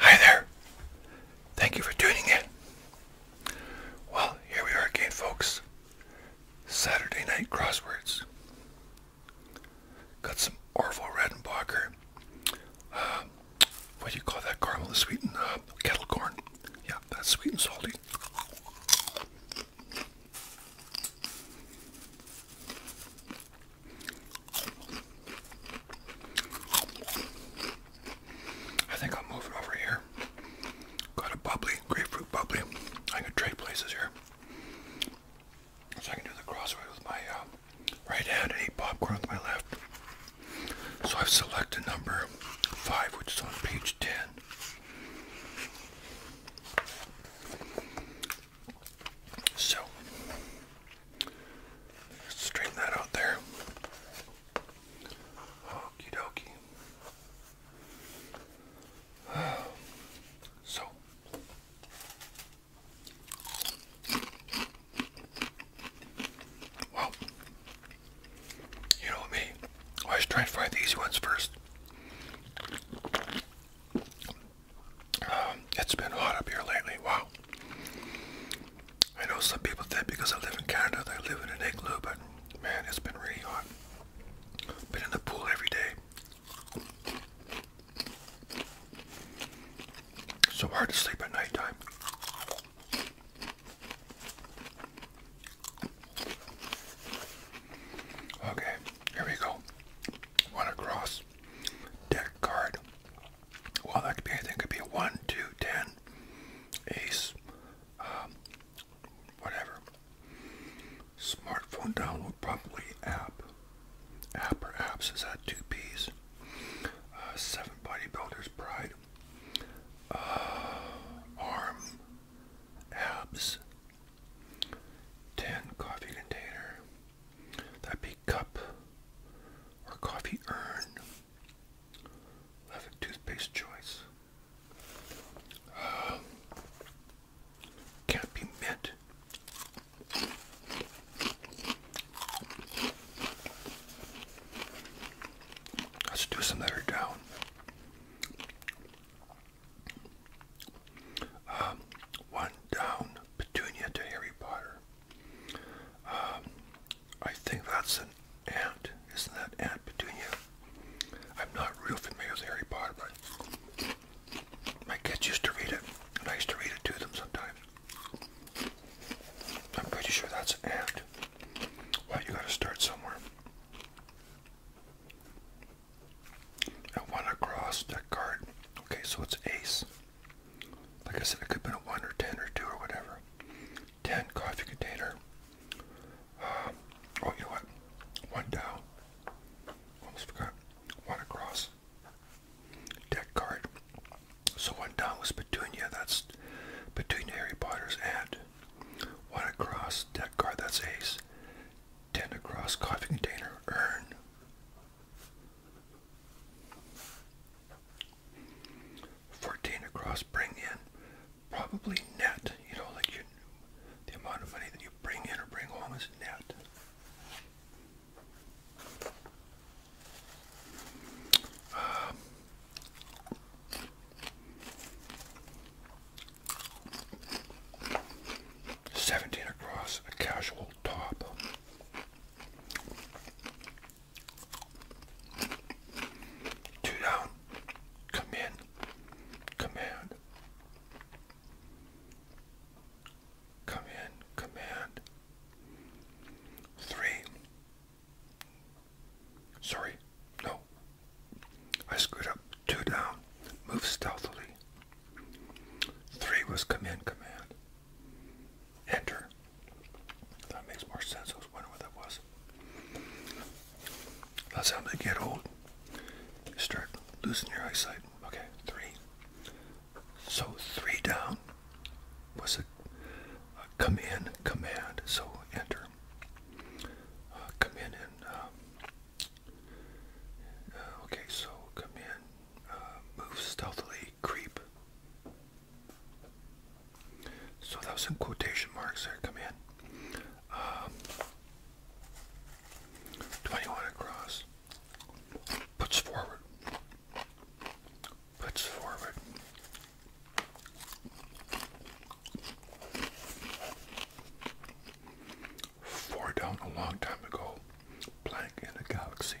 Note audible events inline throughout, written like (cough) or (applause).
Hi there. Thank you for tuning in. Well, here we are again, folks. Saturday night crosswords. Got some Orville Redenbacher. Uh, what do you call that? Caramel sweetened uh, kettle corn. Yeah, that's sweet and salty. I think I'll move it over here. Got a bubbly, grapefruit bubbly. I can trade places here. So I can do the crossway with my uh, right at eight popcorn on my left. So I've selected number five, which is on page 10. So, straighten that out there. Okie dokie. (sighs) so, well, you know me. Always try and find the easy ones first. Um, it's been hot up here lately. Wow. I know some people think because I live in Canada, they live in an igloo, but man, it's been really hot. Been in the pool every day. So hard to sleep at nighttime. Okay, here we go. One across deck card. Well, that could be anything. could be a 1, 2, ace, um, whatever. Smartphone download, probably app app or apps is that two P's? Uh, seven bodybuilders pride. Uh, arm abs. Ten coffee container. That'd cup or coffee urn. Eleven toothpaste choice. Uh, can't be mint. Let's do some that are down. Um, one down, Petunia to Harry Potter. Um, I think that's an ant. Isn't that Aunt Petunia? I'm not real familiar with Harry Potter, but my kids used to read it, and I used to read it to them sometimes. I'm pretty sure that's an and. Well, you gotta start somewhere. And one across that card. Okay, so it's ace. Like I said, it could have been a 1 or 10 or 2 or whatever. 10 coffee container. Um, oh, you know what? One down. Almost forgot. One across deck card. So one down was Petunia, that's Petunia Harry Potter's aunt. One across deck card, that's Ace. Ten across coffee container, Urn. Fourteen across, bring in. Probably net, you know, like you, the amount of money that you bring in or bring home is net. Seventeen across a casual top. Two down. Come Command. Come in, command. Three. Sorry, no. I screwed up. Two down. Move stealthily. Three was come in, command. Enter. That makes more sense. I was wondering what that was. That's how they get old. start losing your eyesight. Okay, three. So three down was a, come in command. So enter. Uh, come in and uh, uh, okay. So come in. move stealthily. Creep. So that was in quotation marks there. Come in. Um, 21 across. Puts forward. Puts forward. Four down a long time ago. Blank in the galaxy.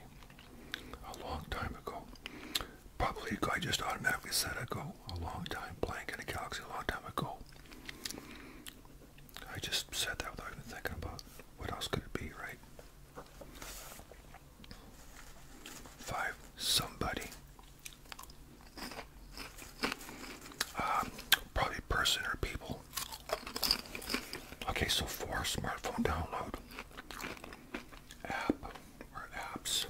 A long time ago. Probably I just automatically said I a long time blank in a galaxy a long time ago. I just said that without even thinking about what else could it be, right? Five, somebody. Um, probably person or people. Okay, so four, smartphone download. App or apps.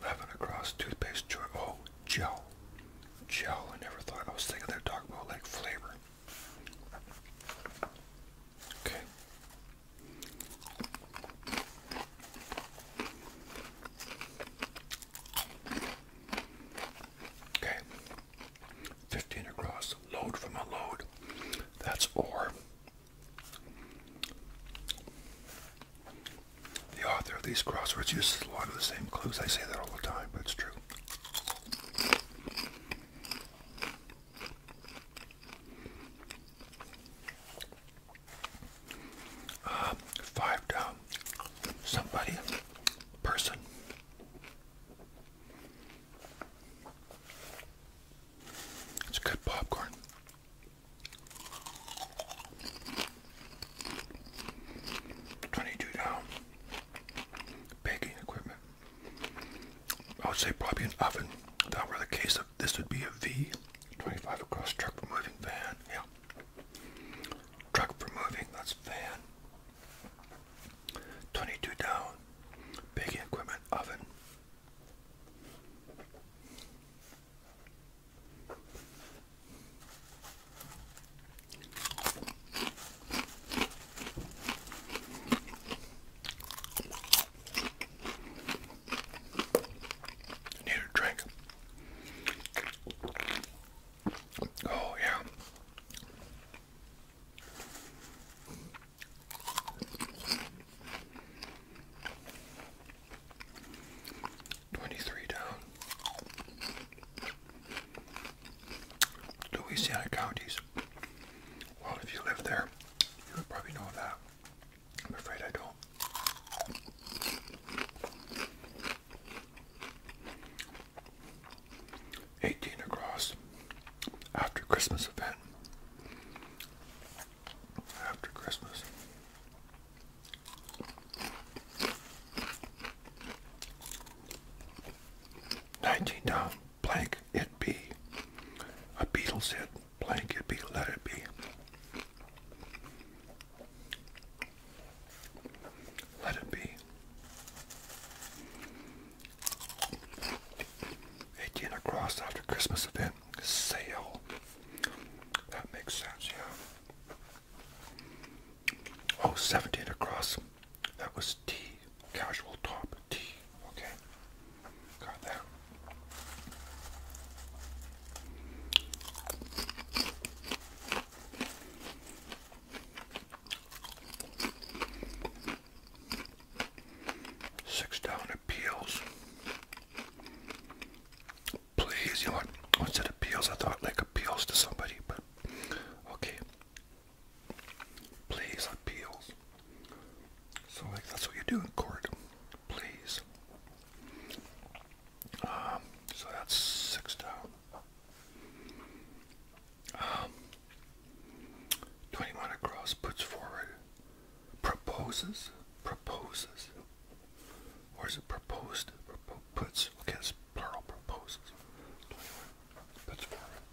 Eleven across toothpaste joy. Oh, gel, gel. I never thought I was thinking they're about like flavor. Okay. Okay. 15 across. Load from a load. That's or. The author of these crosswords uses a lot of the same clues. I say that all the time, but it's true. Um, five down. Somebody. Person. It's good popcorn. 22 down. Baking equipment. I would say probably an oven. That were the case of this would be a V. 25 across truck for moving van. Yeah. Truck for moving, that's van. 22 down. Baking equipment, oven. Need a drink. Oh, yeah. Twenty-three down. Louisiana counties. Well, if you live there, you would probably know that. I'm afraid I don't. Eighteen across after Christmas event after Christmas. Nineteen down blank it be. A Beatles hit blank it be let it be. Let it be. Eighteen across after Christmas event sale. That makes sense, yeah. Oh, 17 across. That was T. Casual top T. Okay. Got that. Six down appeals please, you know once it appeals, I thought like appeals to somebody, but okay. Please appeals. So like that's what you do in court. Please. Um, so that's six down. Um, 21 across puts forward proposes, proposes, or is it proposed? Propo puts. Okay, plural. Proposes. Puts forward.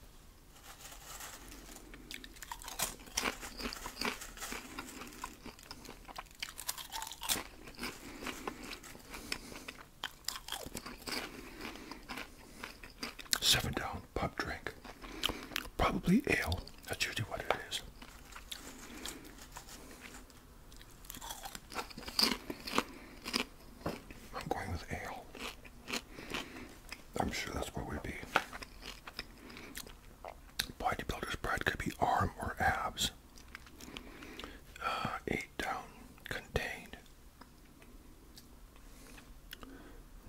Seven down pub drink, probably ale. That's usually what it is. I'm going with ale. I'm sure that's what we'd be. Bodybuilder's bread could be arm or abs. Uh, eight down, contained.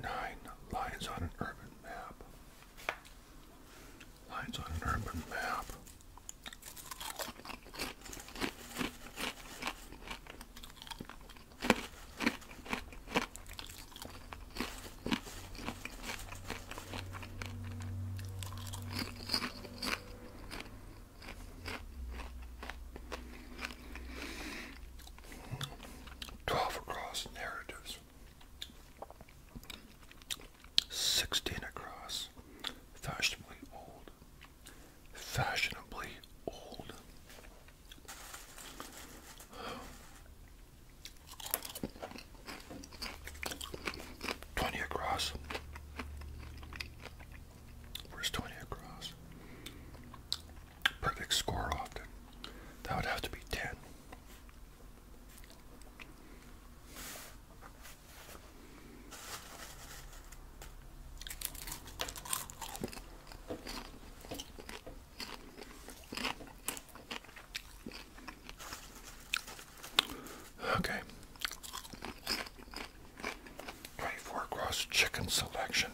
Nine lines on an urban map. Lights on an urban map. Twelve across narratives. Sixteen across. Fashionably old. Fashionably old. Twenty across. Where's twenty across? Perfect score often. That would have to be ten. Okay. 24 cross chicken selection.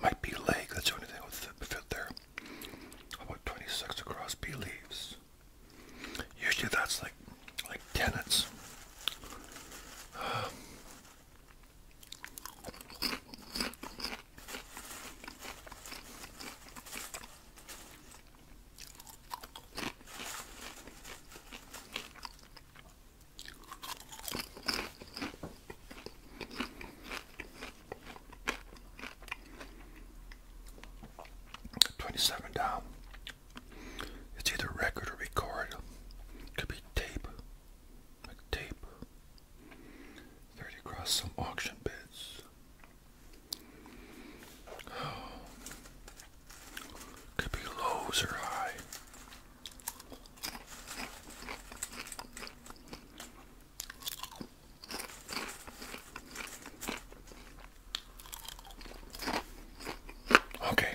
Might be leg, that's the only thing would fit there. About 26 across B leaves. Usually that's like like tenants. Twenty-seven down. It's either record or record. Could be tape. Like tape. Thirty across some auction bids. (sighs) Could be lows or high. Okay.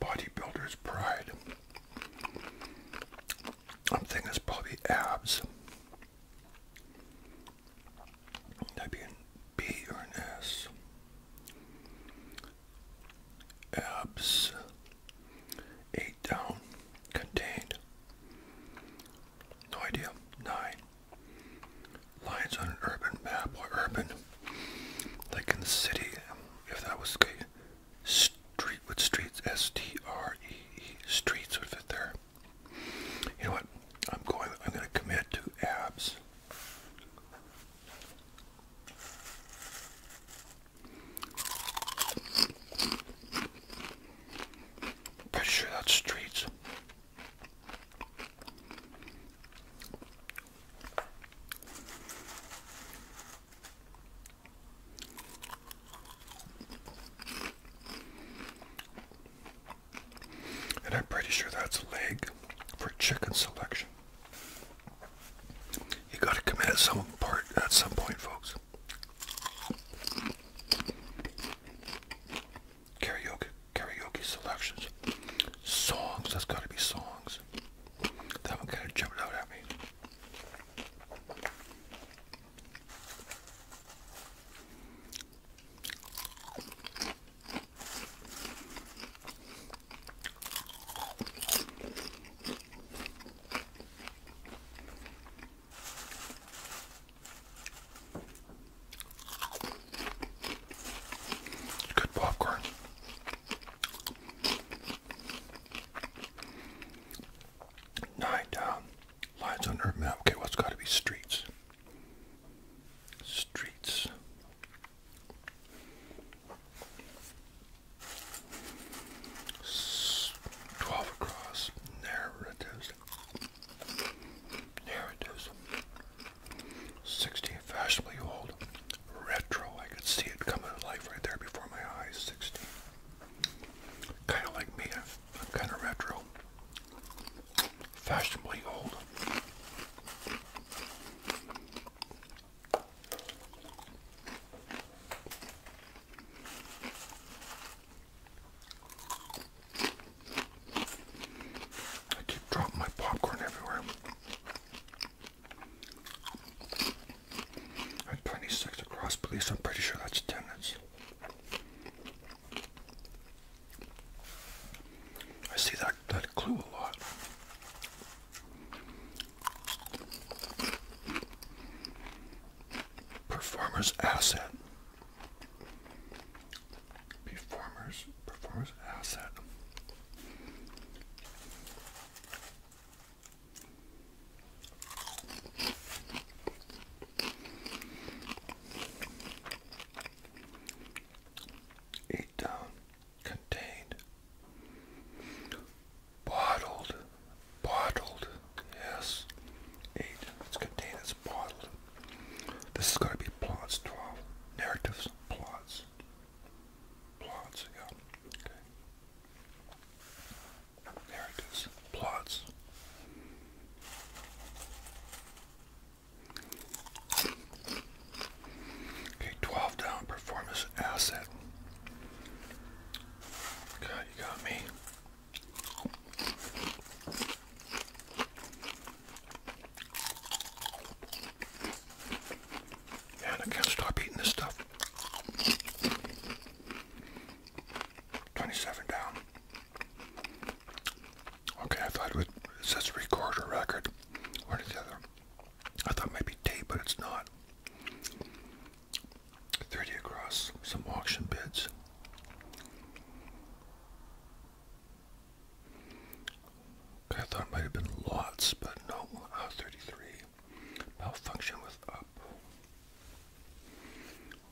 Bodybuilder's pride. I'm thinking it's abs. That'd be an B or an S. Abs. Eight down. Contained. No idea. Nine. Lines on an urban map or urban. Like in the city, if that was okay. Street with streets. S T R E E. Streets would fit there. You know what? I'm going. I'm going to commit to abs. Pretty sure that's streets. And I'm pretty sure that's a leg for chicken selection. You gotta commit at some part at some point, folks. Karaoke karaoke selections. Songs, that's gotta be songs. That one kinda jumped out at me. Good popcorn. Nine down. Lines on Earth map. Okay, what's got to be streets? Streets. Twelve across narratives. Narratives. Sixteen fashionably old. Retro. I could see it coming to life right there before my eyes. Sixteen. Kind of like me kind of retro, fashionably old. I keep dropping my popcorn everywhere. At 26 across, police, I'm pretty sure that's attendance. I see that that clue a lot. Performer's asset. Performer's performer's asset. It um, contained bottled, bottled, yes. Eight. It's contained. It's bottled. This is going to be plots twelve narratives, plots, plots. again. Okay. There it is. Plots. Okay, 12 down, performance asset. God, you got me. Man, I can't stop eating this stuff. 27 down. Okay, I thought it, would, says record record. One the other. I thought maybe tape, but it's not. 30 across, some auction bids. I thought it might have been lots, but no, uh, 33. Malfunction with up.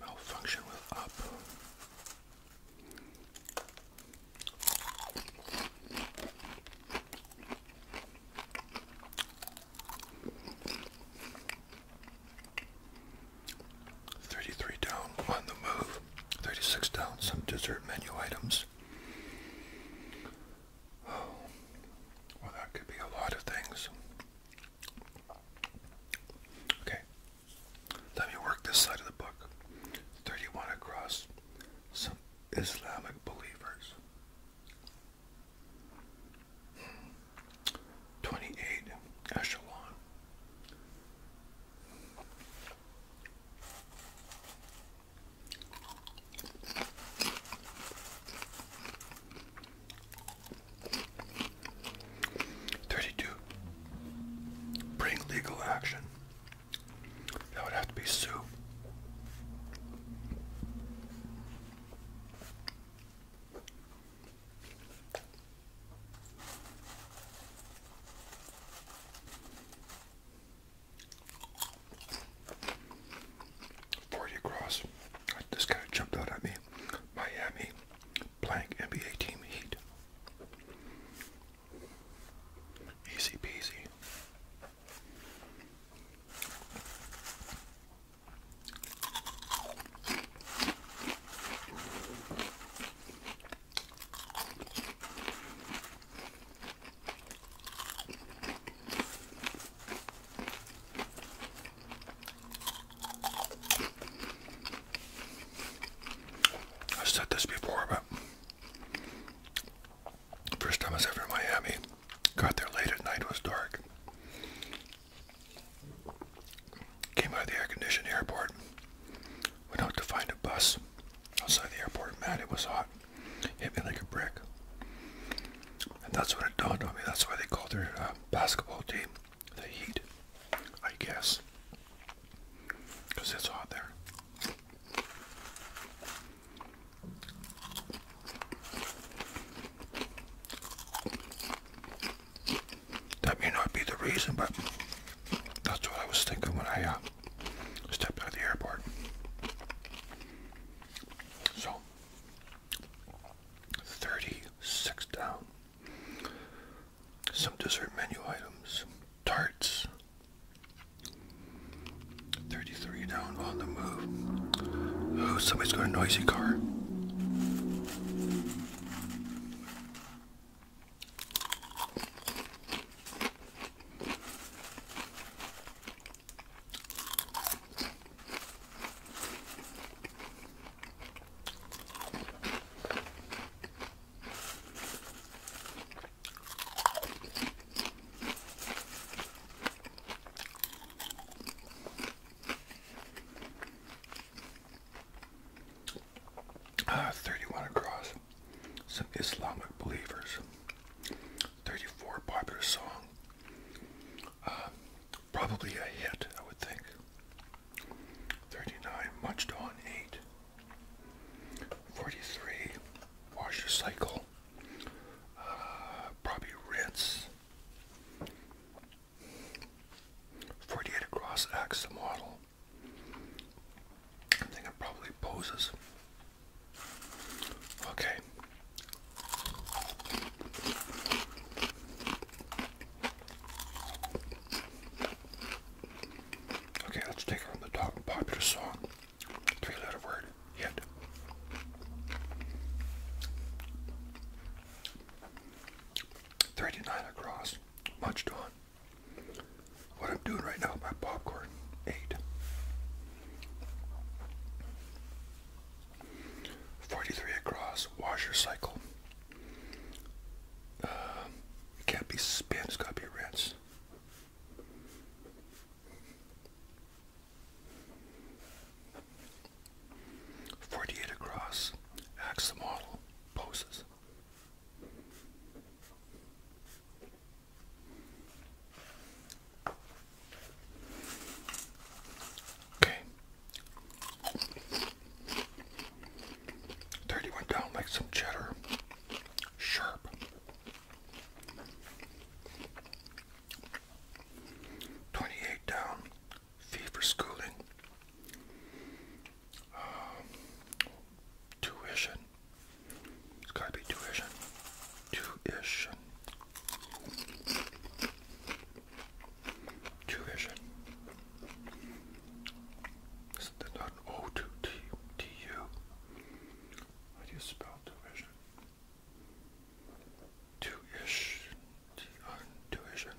Malfunction with up. Thirty-three down on the move. Thirty-six down. Some dessert menu items. Oh, well, that could be a lot of things. Okay. Let me work this side of the book. 31 across some Islamic believers. 28 echelon. 32. Bring legal action. That would have to be sue. Forty across. This guy jumped out at me. Miami blank NBA team Heat. Easy peasy i said this before, but first time I was ever in Miami, got there late at night, it was dark. Came out of the air-conditioned airport, went out to find a bus outside the airport. Man, it was hot. Hit me like a brick. And that's what it dawned on me. That's why they called her. Uh, basketball team, the Heat, I guess, because it's hot there. That may not be the reason, but that's what I was thinking when I uh, stepped out the airport. So, 36 down. Some dessert menu items. Tarts. 33 down on the move. Oh, somebody's got a noisy car. Uh, 31 across some Islamic believers. 34 popular song. Um, Probably a hit, I would think. 39, much on 8. 43, wash your cycle. Uh, probably rinse. 48 across acts the model. I think it probably poses. Okay, Okay, let's take on the top popular song. Three letter word hit. Thirty nine across. Much on. What I'm doing right now my popcorn. Eight. 43 across, washer cycle. Um, it can't be spin, it's got to be rinse. Forty-eight across, axe poses. Okay. 30 went down like some cheddar. Sharp. Twenty-eight down. Fee for schooling. Um, tuition. It's gotta be tuition. Tuition. Two vision. O two T T U? How do you spell two vision? Two ish. two vision.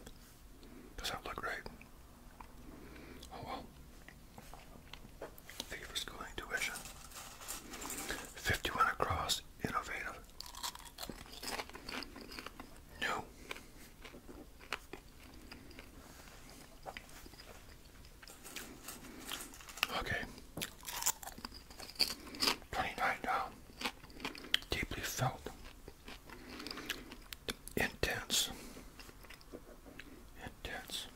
Does that look right? Oh well. Favors going tuition. 51 across, innovative. No. Okay. Twenty-nine down. Deeply felt. Intense. Intense.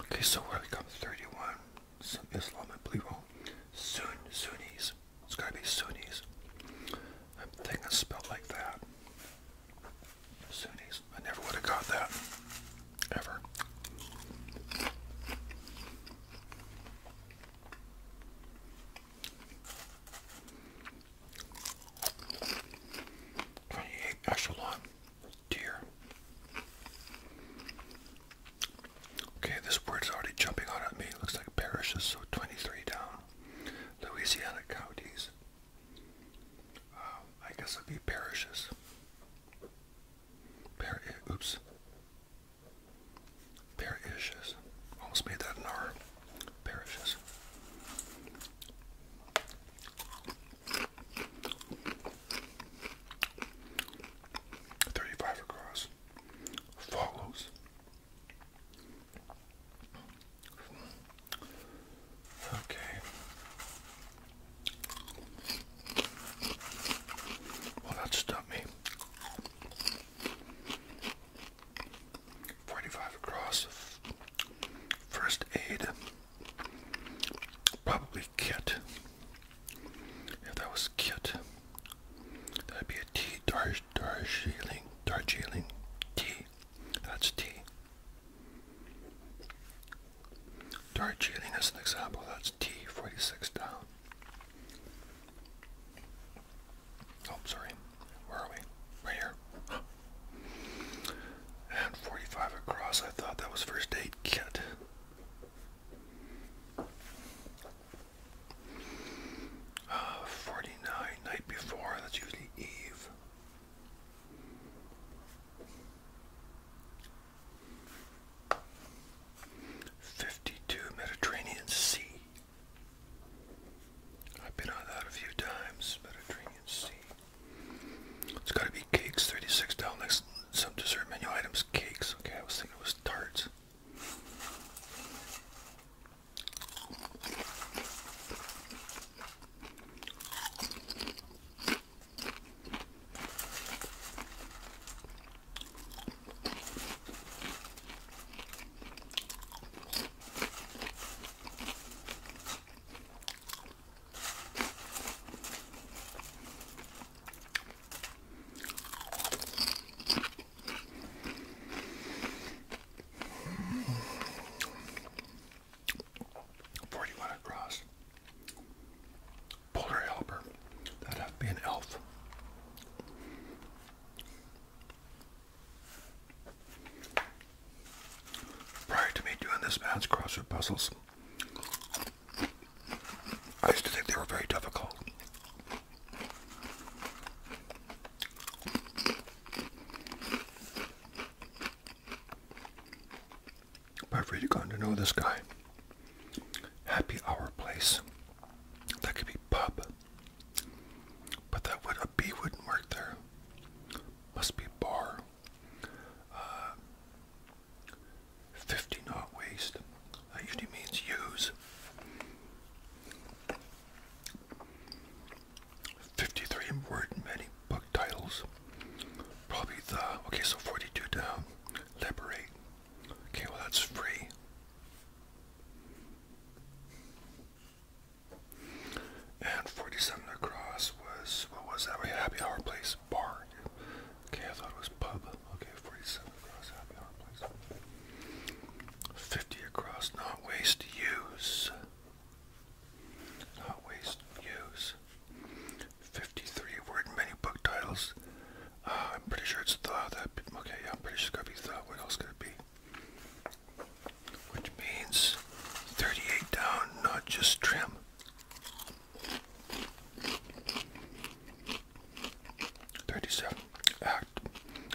Okay, so where we come thirty-one some Islam, I believe. Well, oh, Sun Sunnis. It's gotta be Sunnis. I'm thinking spelled like that. Sunnis. I never would have got that. Ever. Twenty-eight extra dear. Okay, this word's already jumping out at me. looks like parishes, so 23 down. Louisiana counties. Um, I guess it'd be parishes. Par eh, oops. Parishes. Almost made that an R. Parishes. 35 across. Follows. Okay. Well, that stumped me. 45 across. First aid. Probably cute. If that was cute, that'd be a tea dar Darjeeling, Darjeeling That's tea. Darjeeling as an example, that's T. 46 down. Oh, sorry. Where are we? Right here. And 45 across. I thought that was first aid kit. 49, night before, that's usually Eve. Fifty-two Mediterranean Sea. I've been on that a few times, Mediterranean Sea. It's got to be cakes. Thirty-six down next. Some dessert menu items. Cakes. Okay, I was thinking it was tarts. Forty-one across. Polar helper. That'd have to be an elf. Prior to me doing this man's crossword puzzles, I used to think they were very difficult. But I've really gotten to know this guy. Happy hour place. That could be pub. But that would a B wouldn't work there. Must be bar. Uh, 50 not waste. That usually means use. 53 word many book titles. Probably the, okay, so 42 down. Liberate. Okay, well that's free. And 47 across was, what was that? We Happy Hour please bar. Okay, I thought it was pub. Okay, 47 across, happy hour 50 across, not waste, use. Not waste, use. 53 word many book titles. Uh, I'm pretty sure it's the, that, okay, yeah, I'm pretty sure it's has to be the, what else could it be? Which means 38 down, not just trim. 37 Act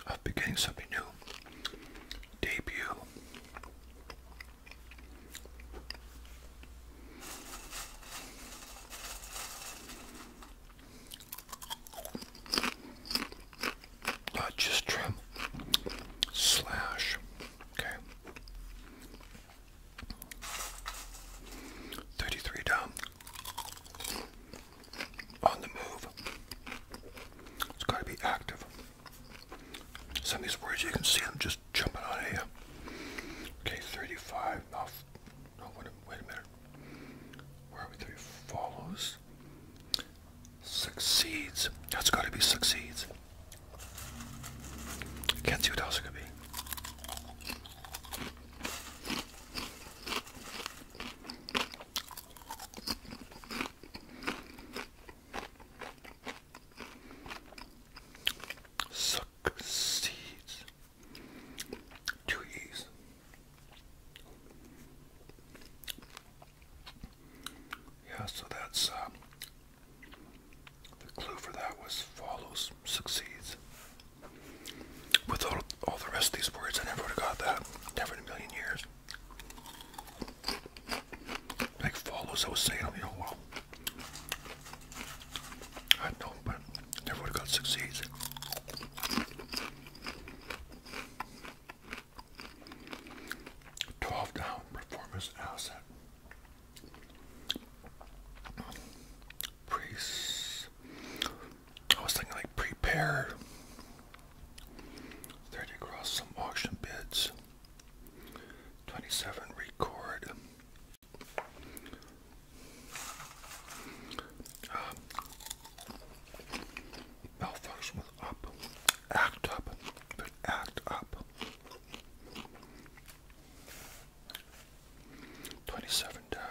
of Beginning Something New. Debut. Not uh, just trim slash. Okay. 33 down. On the move. It's got to be active. Some of these words you can see them just jumping on at Okay, 35. Off. Oh, no, oh, wait a, minute. Where are we? 30 follows. Succeeds. That's got to be succeeds. Can't see what else it could be. Suck seeds. Two E's. Yeah, so that's uh, the clue for that was follows, succeeds. With all, all the rest of these words, I never would have got that. Never in a million years. Like follows, I was saying, you know, I know, but never would have got succeeds. Twelve down performance asset. Pre I was thinking like prepare 30 across some auction bids. 27 record. Um, malfunction up. Act up. But act up. 27 down.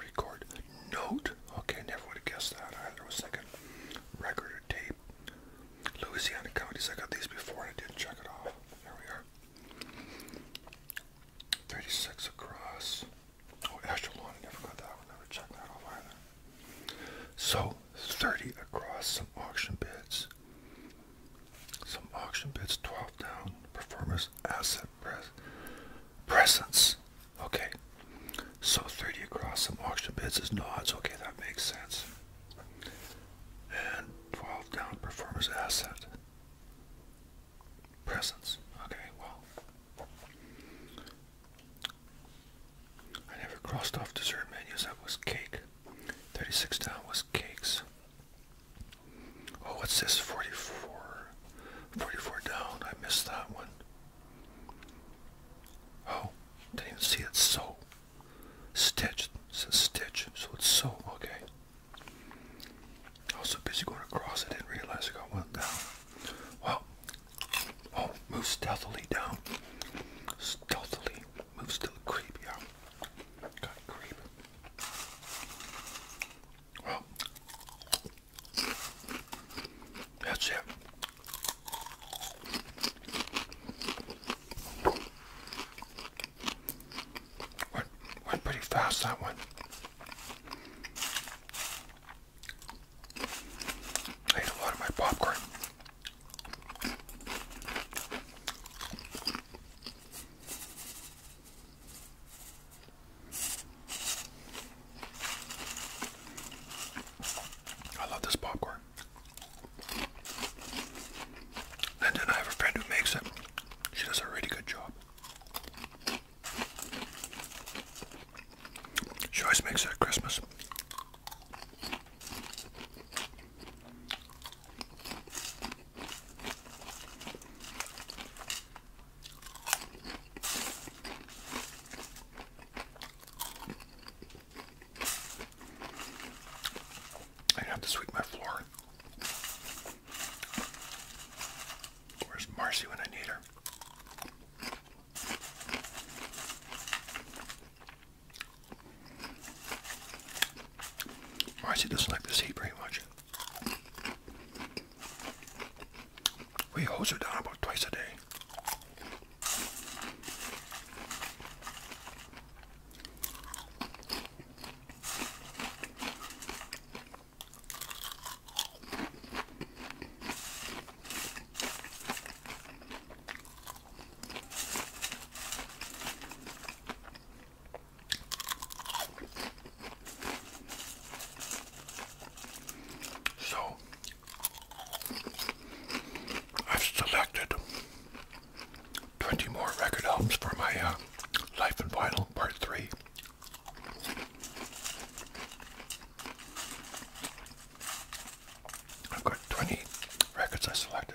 Record note. Okay, never would have guessed that. Either was like record or tape. Louisiana counties. I got these before I didn't check it off. There we are. 36 across. Oh, Echelon. never got that Never checked that off either. So, 30 across some auction bids. Some auction bids 12 down. Performers asset presence. Okay. So 30 across some auction bids is nods. Okay, that makes sense. And 12 down performers asset. Presence. Okay, well. I never crossed off dessert menus. That was cake. 36 down was cakes. Oh, what's this? 44. 44 down. I missed that one. Oh, didn't even see it. So. Stitch. says stitch. So it's so. Okay. I was so busy going across, I didn't realize I got one down. Well. Oh, move stealthily down. Stealthily. Moves still a y'all. Got a Well, that's it. Went, went pretty fast, that one. ate a lot of my popcorn. I love this popcorn. And then I have a friend who makes it. She does a really good job. She always makes it at Christmas. I have to sweep my floor. Where's Marcy when I need her? Marcy doesn't like this heat pretty much. We hose it down about twice a day. So I've selected 20 more record albums for my uh, Life and Vinyl Part 3. I've got 20 records I selected.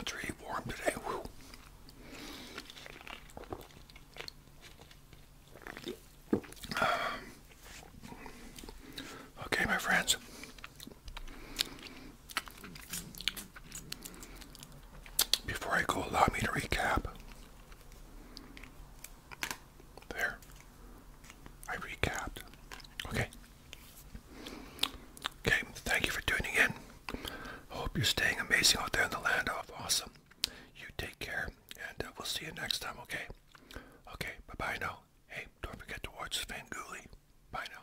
It's really warm today. Whew. (sighs) Okay, my friends. Before I go, allow me to recap. There. I recapped. Okay. Okay, thank you for tuning in. Hope you're staying amazing out there in the land of awesome. You take care, and uh, we'll see you next time, okay? Okay, bye-bye now. Hey, don't forget to watch Svengoolie. Bye now.